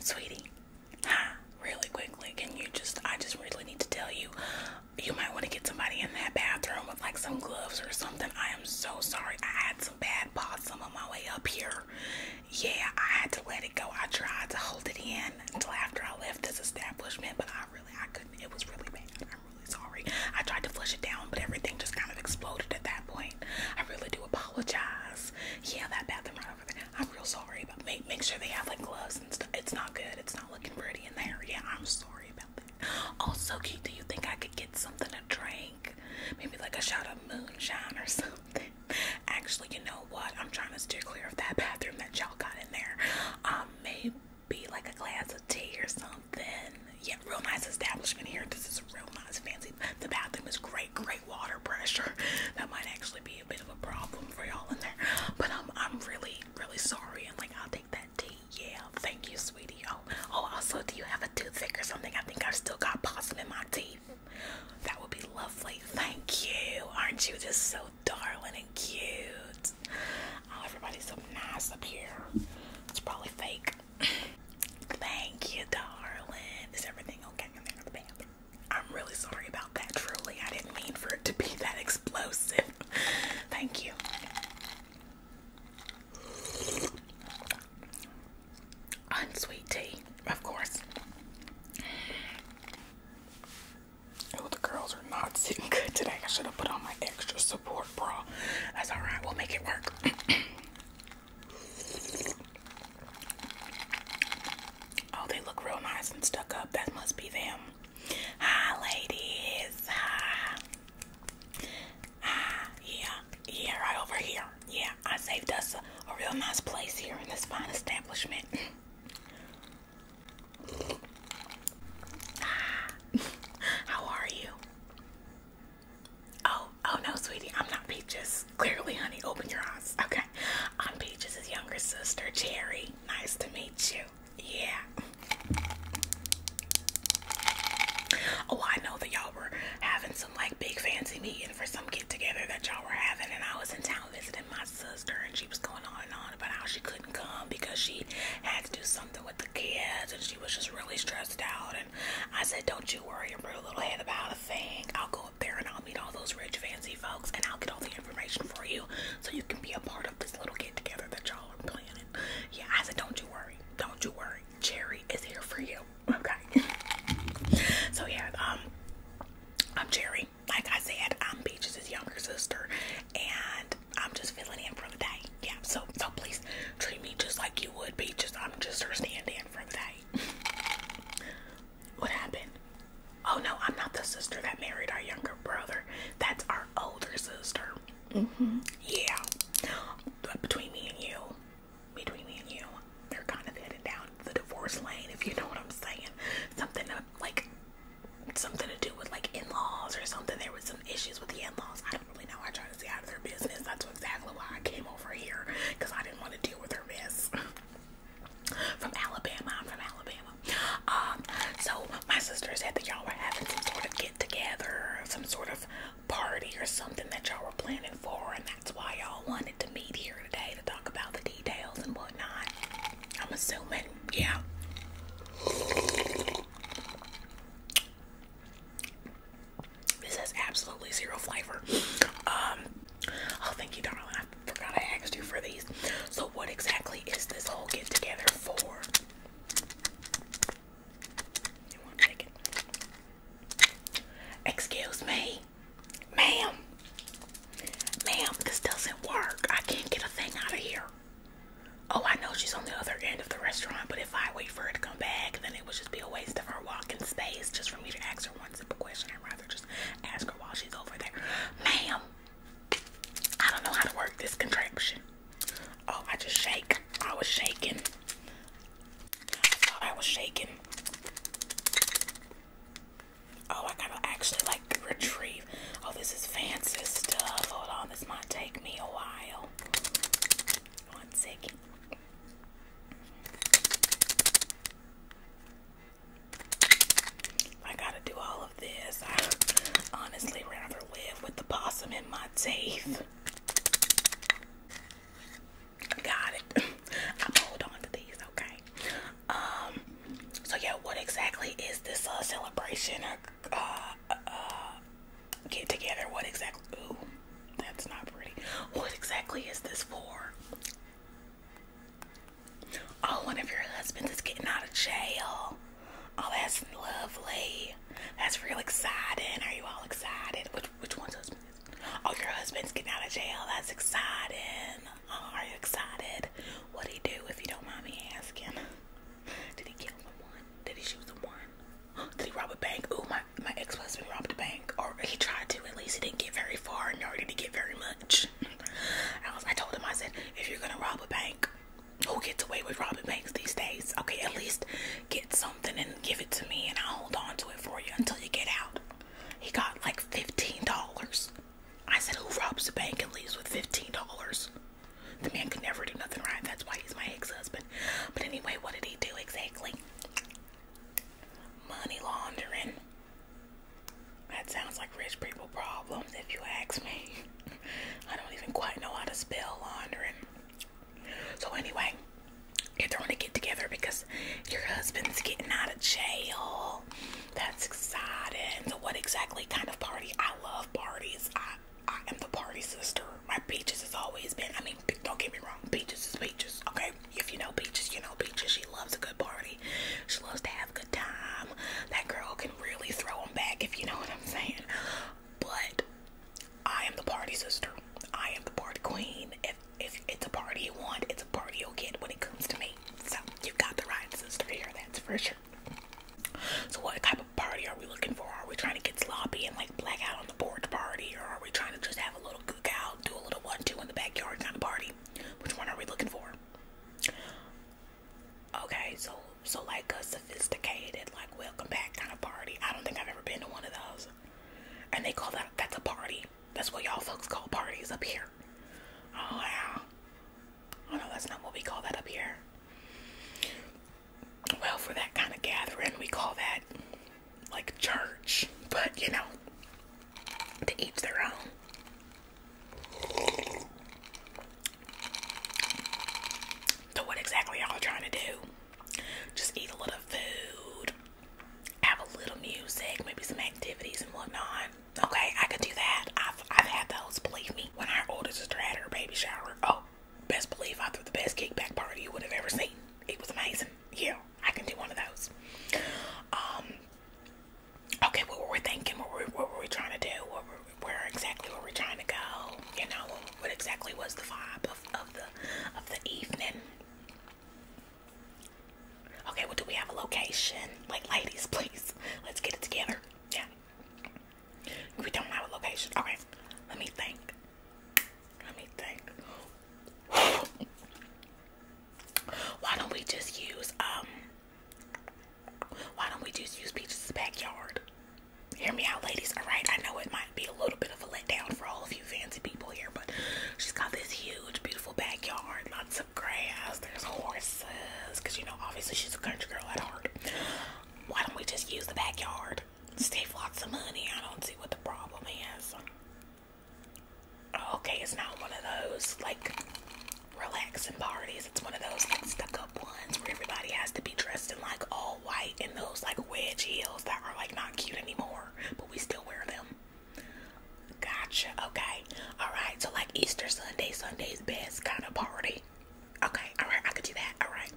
Sweetie, Really quickly, can you just? I just really need to tell you, you might want to get somebody in that bathroom with like some gloves or something. I am so sorry. I had some bad possum on my way up here. Yeah, I had to let it go. I tried to hold it in until after I left this establishment, but I really I couldn't. It was really bad. I'm really sorry. I tried to flush it down, but everything just kind of exploded at that point. I really do apologize. Yeah, that bathroom right over there. I'm real sorry, but make make sure they have like gloves and stuff. It's not good. It's not looking pretty in there. Yeah, I'm sorry about that. Also, Keith, do you think I could get something to drink? Maybe like a shot of moonshine or something. Actually, you know what? I'm trying to steer clear of that bathroom that y'all got in there. Um, maybe like a glass of tea or something. Yeah, real nice establishment here. This is real nice fancy. The bathroom is great, great water pressure. That might actually be a bit of a problem for y'all in there. But I'm um, I'm really, really sorry. And like I'll take that tea. Yeah, thank you, sweetie. Oh, oh also do you have a toothpick or something? I think I've still got possum in my teeth. That would be lovely. Thank you. Aren't you just so darling and cute? Oh, everybody's so nice up here. It's probably fake. Thank you, darling. Is everything okay in there I'm really sorry about that, truly. I didn't mean for it to be that explosive. Thank you. Unsweet of course. Oh, the girls are not sitting good today. I should have put on my extra support bra. That's alright, we'll make it work. oh, they look real nice and stuck up. That must be them. Hi, ladies. Hi. Hi. Yeah. Yeah, right over here. Yeah, I saved us a, real nice place here in this fine establishment. How are you? Oh, oh no, sweetie, I'm not Peaches. Clearly, honey, open your eyes. Okay, I'm Peaches' younger sister, Cherry. Nice to meet you. Yeah. Oh, I know that y'all were having some like big fancy meeting for some get together that y'all were having, and I was in town visiting my sister, and she was going on and on about how she couldn't come because she had to do something the kids and she was just really stressed out. And I said, Don't you worry little head about a thing. I'll go up there and I'll meet all those rich, fancy folks and I'll get all the information for you so you can be a part of this little get together that y'all are planning. Yeah, I said, Don't you worry. Don't you worry. Cherry is here for you. Okay. so, yeah, um, I'm Cherry. Like I said, I'm Beaches' younger sister, and I'm just filling in for the day. Yeah, so so please treat me just like you would be. Just I'm just her stand-in for the day. what happened? Oh no, I'm not the sister that married our younger brother. That's our older sister. Mm-hmm. Yeah. between me and you, between me and you, they're kind of headed down the divorce lane, if you know what I'm saying. Something to, like something to do with like in-laws or something. There was some issues with the in-laws definitely know I tried to stay out of their business. That's exactly why I came over here because I didn't want to deal with her mess. from Alabama, I'm from Alabama. Um, so my sister said that y'all were having some sort of get together, some sort of party or something that y'all were planning for, and that's why y'all wanted to meet here today to talk about the details and whatnot. I'm assuming, yeah. This has absolutely zero flavor. Um, oh, thank you, darling. I forgot I asked you for these. So, what exactly is this whole get together for? Excuse me, ma'am. Ma'am, this doesn't work. I can't get a thing out of here. Oh, I know she's on the other end of the restaurant, but if I wait for her to come back, then it would just be a waste of her walking space just for me to ask her one simple question. I'd rather just ask her while she's over there. Ma'am, I don't know how to work this contraption. Oh, I just shake. I was shaking. I thought I was shaking. Oh, I gotta actually like retrieve. Oh, this is fancy stuff. Hold on, this might take me a while. One second. I gotta do all of this. I honestly rather live with the possum in my teeth. Got it. i hold on to these, okay? Um. So yeah, what exactly is this uh, celebration uh, uh, uh, get together. What exactly? Ooh, that's not pretty. What exactly is this for? Oh, one of your husbands is getting out of jail. Oh, that's lovely. That's real exciting. Are you all excited? Which which one's husband? Oh, your husband's getting out of jail. That's exciting. Oh, are you excited? What'd he do, if you don't mind me asking? Did he kill someone? Did he shoot someone? Did he rob a bank? Oh, my, my ex-husband robbed a bank. Or he tried to, at least he didn't get very far, nor did he get very much. I, was, I told him, I said, if you're gonna rob a bank, who gets away with robbing banks these days? Okay, at least get something and give it to me and I'll hold on to it for you until you get out. He got like $15. I said, who robs a bank and leaves with $15? The man could never do nothing right. That's why he's my ex-husband. But anyway, what did he do exactly? Money laundering. That sounds like rich people problems if you ask me. I don't even quite know how to spell laundering. So anyway, you're throwing a get together because your husband's getting out of jail. That's exciting. So what exactly kind of party? I love parties. I I am the party sister. My Peaches has always been, I mean, don't get me wrong, Peaches is Peaches, okay? If you know Peaches, you know Peaches. She loves a good party. She loves to have a good time. That girl can really throw them back, if you know what I'm saying. But I am the party sister. I am the party queen. If, if it's a party you want, it's a party you'll get when it comes to me. So, you've got the right sister here, that's for sure. So what type of party are we looking for? Are we trying to get sloppy and like blackout on the porch party? Or are we trying to just have a little out, do a little one-two in the backyard kind of party? Which one are we looking for? Okay, so so like a sophisticated, like welcome back kind of party. I don't think I've ever been to one of those. And they call that that's a party. That's what y'all folks call parties up here. Oh, wow. Oh no, that's not what we call that up here well, for that kind of gathering, we call that like church, but you know, to each their own. So, what exactly y'all trying to do? Just eat a little food, have a little music, maybe some activities and whatnot. Okay, I could do that. I've I've had those. Believe me, when our oldest sister had her baby shower, oh, best believe I threw the best kickback party you would have ever seen. It was amazing. Yeah, I can do one of those. Um, okay, what were we thinking? What were, we trying to do? What were, where exactly were we trying to go? You know, what, exactly was the vibe of, of the of the evening? Okay, what do we have a location? Like, ladies, please, let's get it together. Yeah. We don't have a location. Okay, let me think. Let me think. Why don't we just use um? Why don't we just use Peaches' backyard? Hear me out, ladies. All right, I know it might be a little bit of a letdown for all of you fancy people here, but she's got this huge, beautiful backyard. Lots of grass. There's horses, cause you know, obviously she's a country girl at heart why don't we just use the backyard? Save lots of money. I don't see what the problem is. Okay, it's not one of those like relaxing parties. It's one of those like stuck up ones where everybody has to be dressed in like all white and those like wedge heels that are like not cute anymore, but we still wear them. Gotcha. Okay. All right. So like Easter Sunday, Sunday's best kind of party. Okay, alright, I could do that. Alright.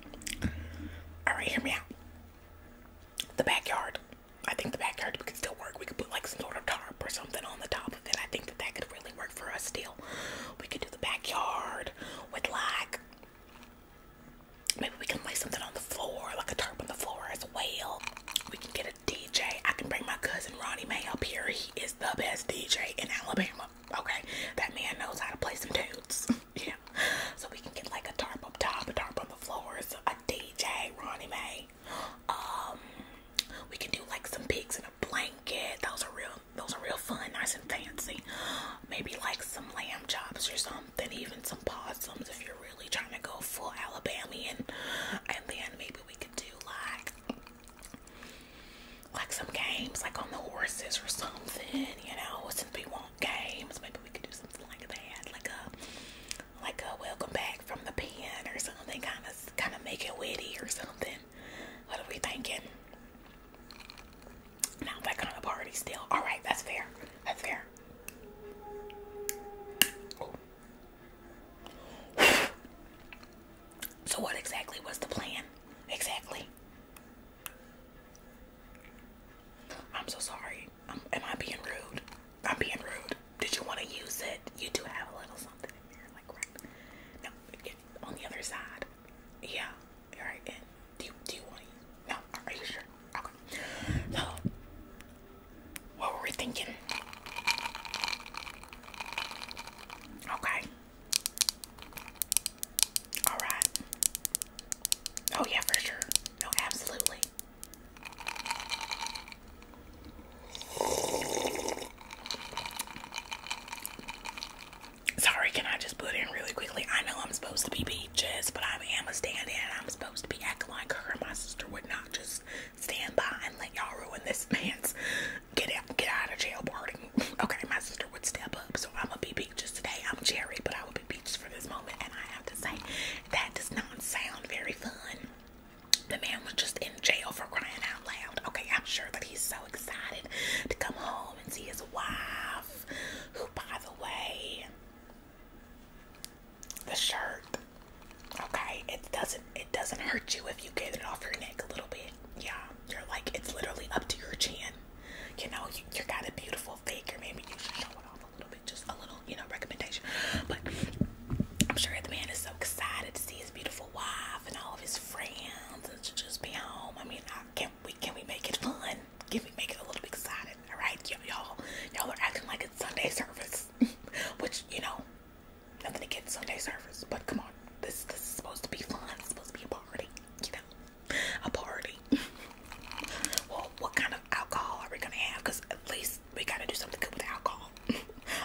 Alright, hear me out. The backyard. I think the backyard could still work. We could put like some sort of tarp or something on the top of it. I think that that could really work for us still. We could do the backyard with like maybe we can lay something on the floor, like a tarp on the floor as well. We can get a DJ. I can bring my cousin Ronnie May up here. He is the best DJ in Alabama. Okay, that man knows how to play some tunes. yeah, so we can get like a tarp up top, a tarp on the floors, a DJ, Ronnie Mae. Um, we can do like some pigs in a blanket. Those are real. Those are real fun, nice and fancy. Maybe like some lamb chops or something, even some possums if you're really trying to go full Alabamian. And then maybe we could do like like some games, like on the horses or something, you know, since we want games, maybe we could do something like that, like a, like a welcome back from the pen or something, kind of, kind of make it witty or something. What are we thinking? Not that kind of party still. All right, that's fair. That's fair. So, what exactly was the plan? Exactly. I'm so sorry. am I being rude? I'm being rude. Did you want to use it? You do have a little something in there, like right. No, it, on the other side. Yeah. All right. do you, do you want to? No. Are you sure? Okay. So, what were we thinking? Okay. All right. Oh, yeah, for sure. No, absolutely. Sorry, can I just put in really quickly? I know I'm supposed to be beaches, but I am a stand in. I'm supposed to be acting like her. My sister would not just stand by and let y'all ruin this man's get out, get out of jail party. Okay, my sister would step up, so I'm gonna be peaches today. I'm Jerry, but I will be peaches for this moment, and I have to say that does not sound very fun. The man was just in jail for crying out loud. Okay, I'm sure that he's so excited to come home and see his wife, who, by the way, the shirt. Okay, it doesn't it doesn't hurt you if you get it off your neck a little bit yeah, you're like it's literally up to your chin. You know, you, you got a beautiful figure. Maybe you should show it off a little bit, just a little, you know, recommendation. But I'm sure the man is so excited to see his beautiful wife and all of his friends and to just be home. I mean, I, can we can we make it fun? Can we make it a little bit excited? All right, y'all, y'all are acting like it's Sunday service, which you know Nothing against Sunday service, but come on, this this is supposed to be fun. It's supposed to be a party, you know, a party. well, what kind of alcohol are we gonna have? Cause at least we gotta do something good with alcohol.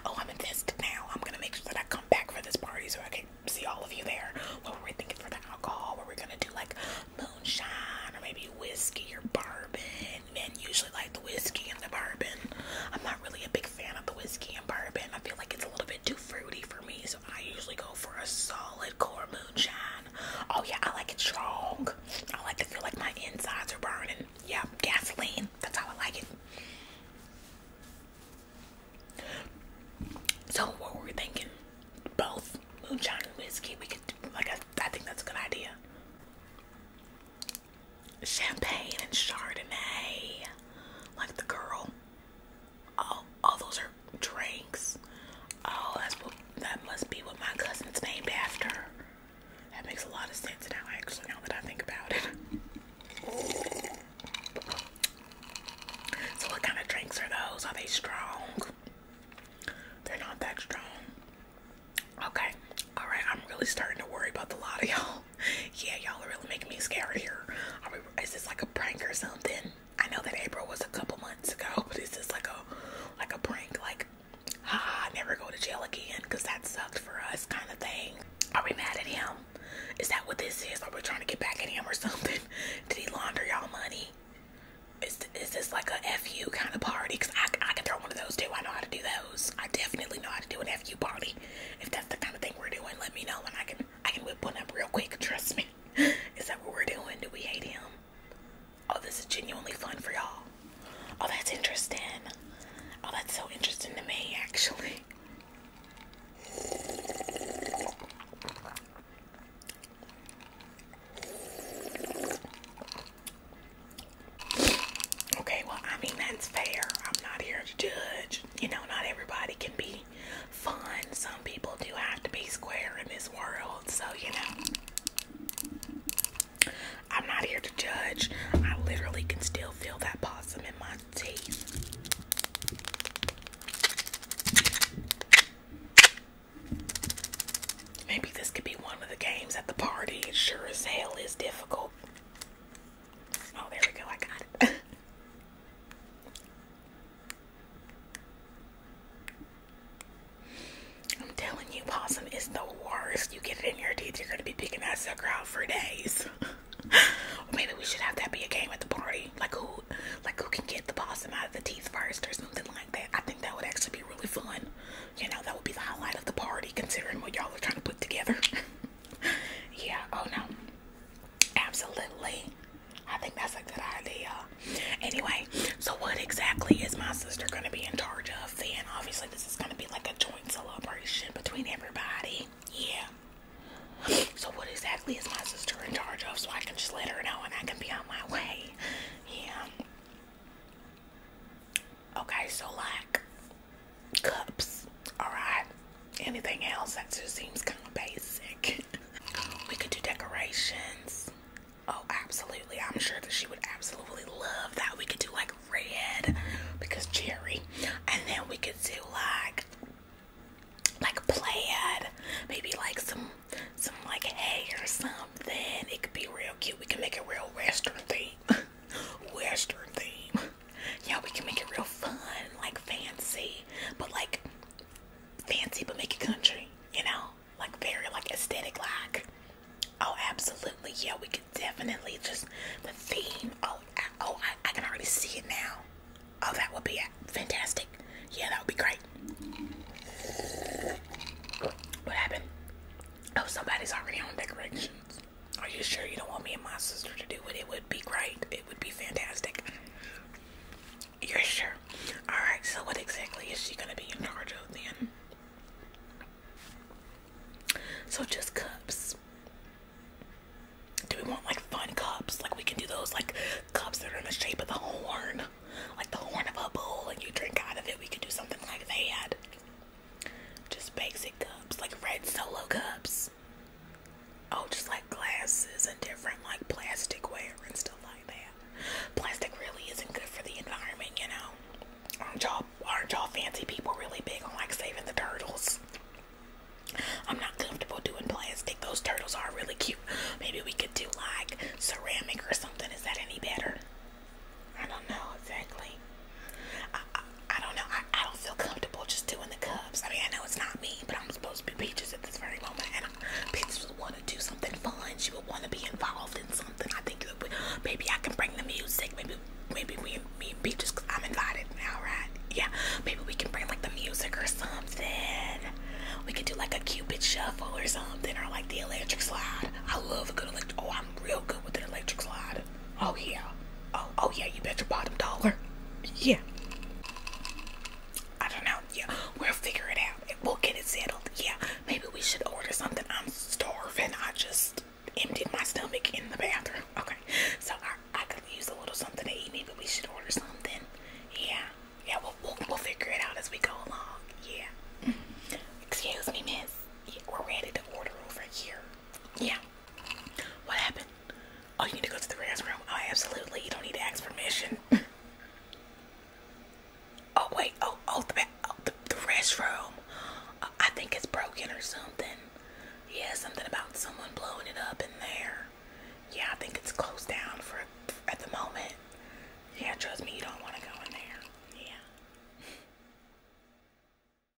oh, I'm in this now. I'm gonna make sure that I come back for this party so I can see all of you there. What were we thinking for the alcohol? Were we gonna do like moonshine or maybe whiskey or bourbon? Men usually like the whiskey and the bourbon. I'm not really a big fan of the whiskey and bourbon. I feel like it's a little bit too fruity for me, so I usually go for a solid core moonshine. Oh yeah, I like it strong. I like to feel like my insides are burning. Yeah, gasoline. That's how I like it. So what were we thinking? Both moonshine and whiskey. We could do, like I, I think that's a good idea. Champagne and Chardonnay, like the girl. Oh, oh, those are drinks. Oh, that's what that must be what my cousin's named after. That makes a lot of sense now, actually, now that I think about it. So, what kind of drinks are those? Are they strong? They're not that strong. Okay, all right, I'm really starting to worry about the lot of y'all yeah, y'all are really making me scared here. is this like a prank or something? I know that April was a couple months ago, but is this like a like a prank? Like, ah, never go to jail again because that sucked for us, kind of thing. Are we mad at him? Is that what this is? Are we trying to get back at him or something? Did he launder y'all money? Is, is this like a FU kind of party? Because I, I can throw one of those too. I know how to do those. I definitely know how to do an FU party if that's the kind of thing we're doing, let me know and I can I can whip one up real quick. Trust me. Is that what we're doing? Do we hate him? Oh, this is genuinely fun for y'all. Oh, that's interesting. Oh, that's so interesting to me, actually. Okay, well, I mean, that's fair. I'm not here to judge. You know, not everybody can be fun. Some people do have to be square in this world. So, you know, I'm not here to judge. I literally can still feel that possum in my teeth. Maybe this could be one of the games at the party. It sure as hell is difficult. Oh, there we go. I got it. I'm telling you, possum is the worst. You get it in your teeth, you're gonna be picking that sucker out for days. Maybe we should have that be a game at the party. Like who, like who can get the possum out of the teeth first, or something like that. I think that would actually be really fun. You know, that would be the highlight of the party, considering what y'all are trying to put together. yeah. Oh no. Absolutely. I think that's a good idea. Anyway, so what exactly is my sister going to be in charge of then? Obviously, this is going to be like a joint celebration between everybody. Yeah. So, what exactly is my sister in charge of so I can just let her know and I can be on my way? Yeah. Okay, so like, cups, alright? Anything else that just seems kind of basic. we could do decorations. Oh, absolutely. I'm sure that she would absolutely love that. We could do like red because cherry. And then we could do like like plaid, maybe like some some like hay or something. It could be real cute. We can make it real western theme. Western theme. Yeah, we can make it real fun, like fancy, but like fancy, but make it country, you know? Like very like aesthetic like. Oh, absolutely. Yeah, we could definitely just the theme. Oh, I, oh, I can already see it now. Oh, that would be fantastic. Yeah, that would be great. What happened? Oh, somebody's already on decorations. Are you sure you don't want me and my sister to do it? It would be great. It would be fantastic. You're sure? Alright, so what exactly is she going to be in charge of then? So just cups. Do we want like fun cups? Like we can do those like cups that are in the shape of the horn. Like the horn of a bull and you drink out of it. We could do something like that. Just basic cups. Like red solo cups else? Oh, just like glasses and different like plasticware and stuff like that. Plastic really isn't good for the environment, you know. Aren't y'all aren't y'all fancy people really big on like saving the turtles? I'm not comfortable doing plastic. Those turtles are really cute. Maybe we could do like ceramic or something. Is that any better? I don't know exactly. I, don't know. I, don't feel comfortable just doing the Cubs. I mean, I know it's not me, but I'm supposed to be Peaches at this very moment. And I, Peaches would want to do something fun. She would want to be involved in something. I think maybe I can bring the music. Maybe maybe we, me and Peaches, I'm invited now, right? Yeah. Maybe we can bring like the music or something. We could do like a Cupid shuffle or something, or like the electric slide. I love a good electric. Oh, I'm real good with an electric slide. Oh yeah. Oh oh yeah, you bet your bottom dollar. Yeah. I don't know. Yeah, we'll figure it out. We'll get it settled. Yeah, maybe we should order something. I'm starving. I just emptied my stomach in the bathroom. Okay, so I, could use a little something to eat. Maybe we should order something. Yeah, yeah, we'll, we'll, figure it out as we go along. Yeah. Mm-hmm. Excuse me, miss. we're ready to order over here. Yeah. What happened? Oh, you need to go to the restroom. Oh, absolutely. You don't need to ask permission. oh, wait. Oh, oh, oh, the, the, restroom. Uh, I think it's broken or something. Yeah, something about someone blowing it up in there. Yeah, I think it's closed down for at the moment. Yeah, trust me, you don't want to go in there. Yeah.